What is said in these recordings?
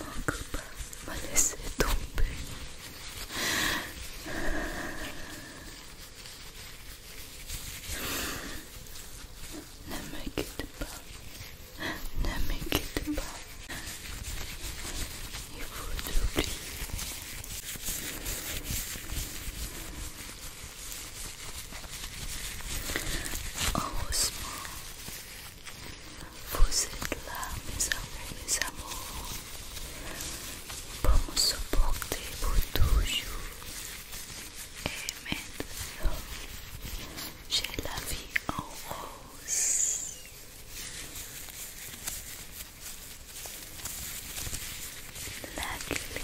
Mon copain me laisser tomber. Ne me quitte pas. Ne me quitte pas. Il faut t'oublier. Heureusement, Você lá, meus amores, amor. Vamos suportar por tudo. Amen. J'ai la vie en rose. Luckily,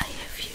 I have you.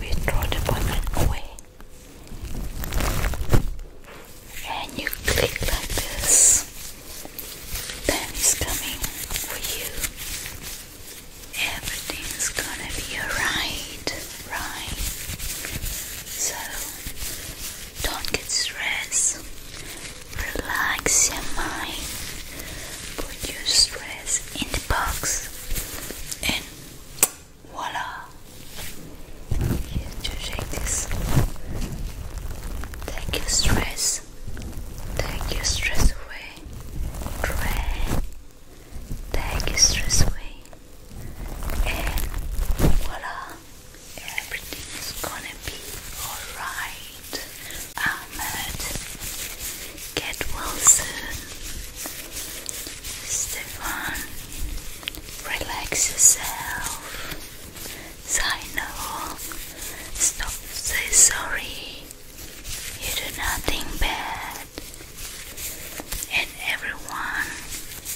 We throw the button away. And you click like this. Time is coming for you. Everything's gonna be alright, right? So don't get stressed. Relax your mind. Put your stress in the box. And voila! Here, shake this. Take your stress. Take your stress away. Try. Take your stress away. And voila! Everything's gonna be alright. Ahmed, get well soon. Stefan, relax yourself. Zaino, stop saying sorry. You do nothing bad. And everyone,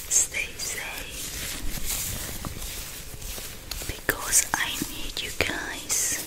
stay safe because I need you guys.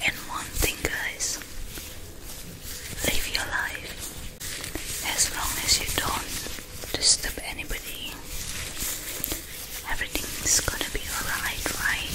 And one thing, guys, live your life as long as you don't disturb anybody. Everything's gonna be alright, right?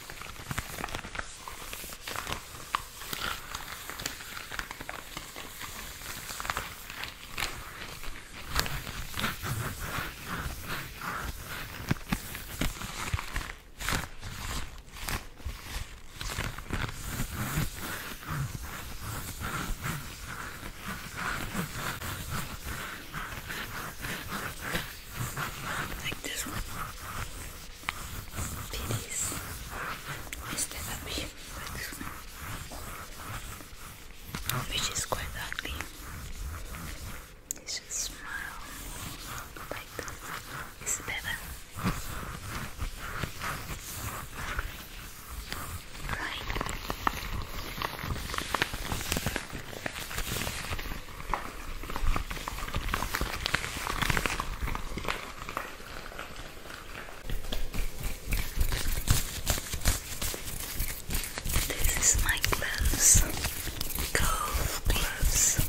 Like this one. Pities instead of humans, which is quite ugly. They should smile like it's better. Right. This is my gloves, golf gloves.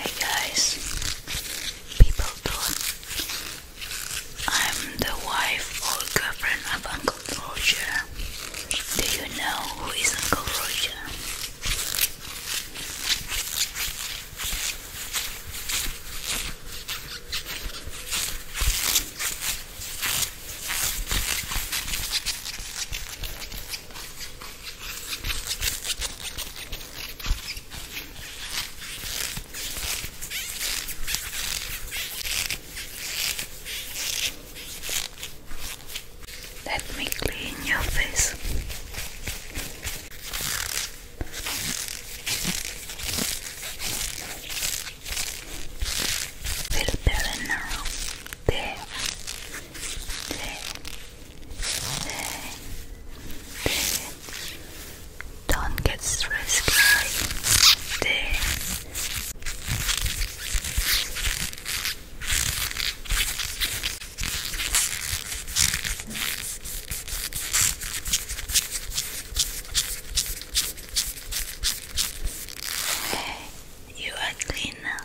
Hey guys, people thought I'm the wife or girlfriend of Uncle Roger. Do you know who is Uncle Roger? Let me clean your face. Feel better now. There, there, there, there. Don't get stressed, guys. There. you are clean now.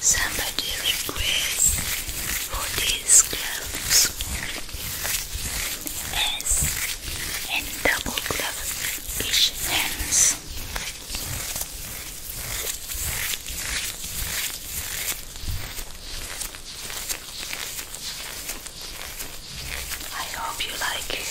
Somebody requests for these gloves S and double glove hands. I hope you like it.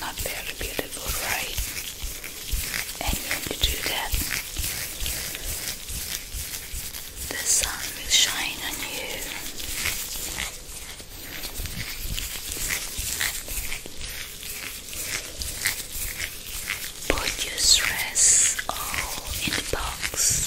Not very beautiful, right? And when you do that, the sun will shine on you. Put your stress all in the box.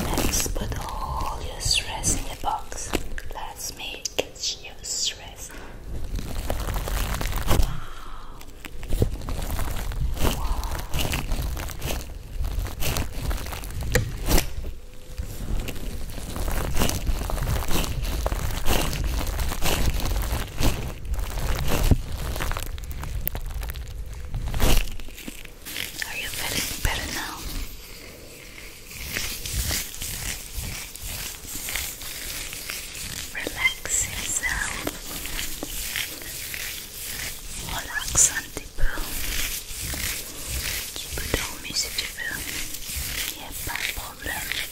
Let's put all your stress in a box. Let's make it your stress. Are you feeling better now? Relax yourself. Relax un petit peu. Tu peux dormir si tu veux. Il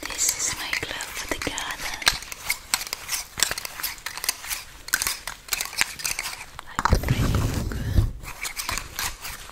This is my glove for the garden. I put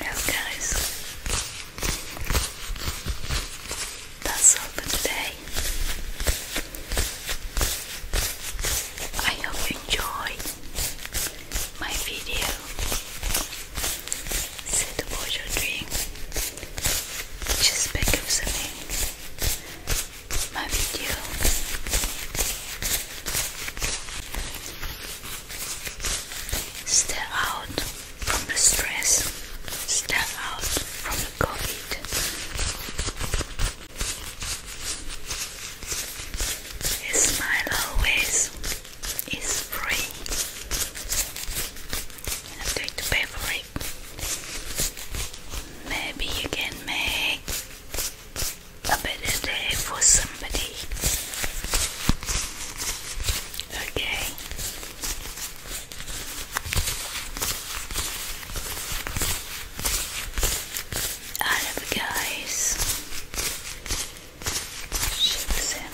Well guys, that's all for today. I hope you enjoyed my video. Sit about your drink. Just pick up something. My video Stay out from the stress. Stay out from the COVID. A smile always is free. You don't have to pay for it. Maybe you can make a better day for somebody. Okay. I love you guys. Schützen.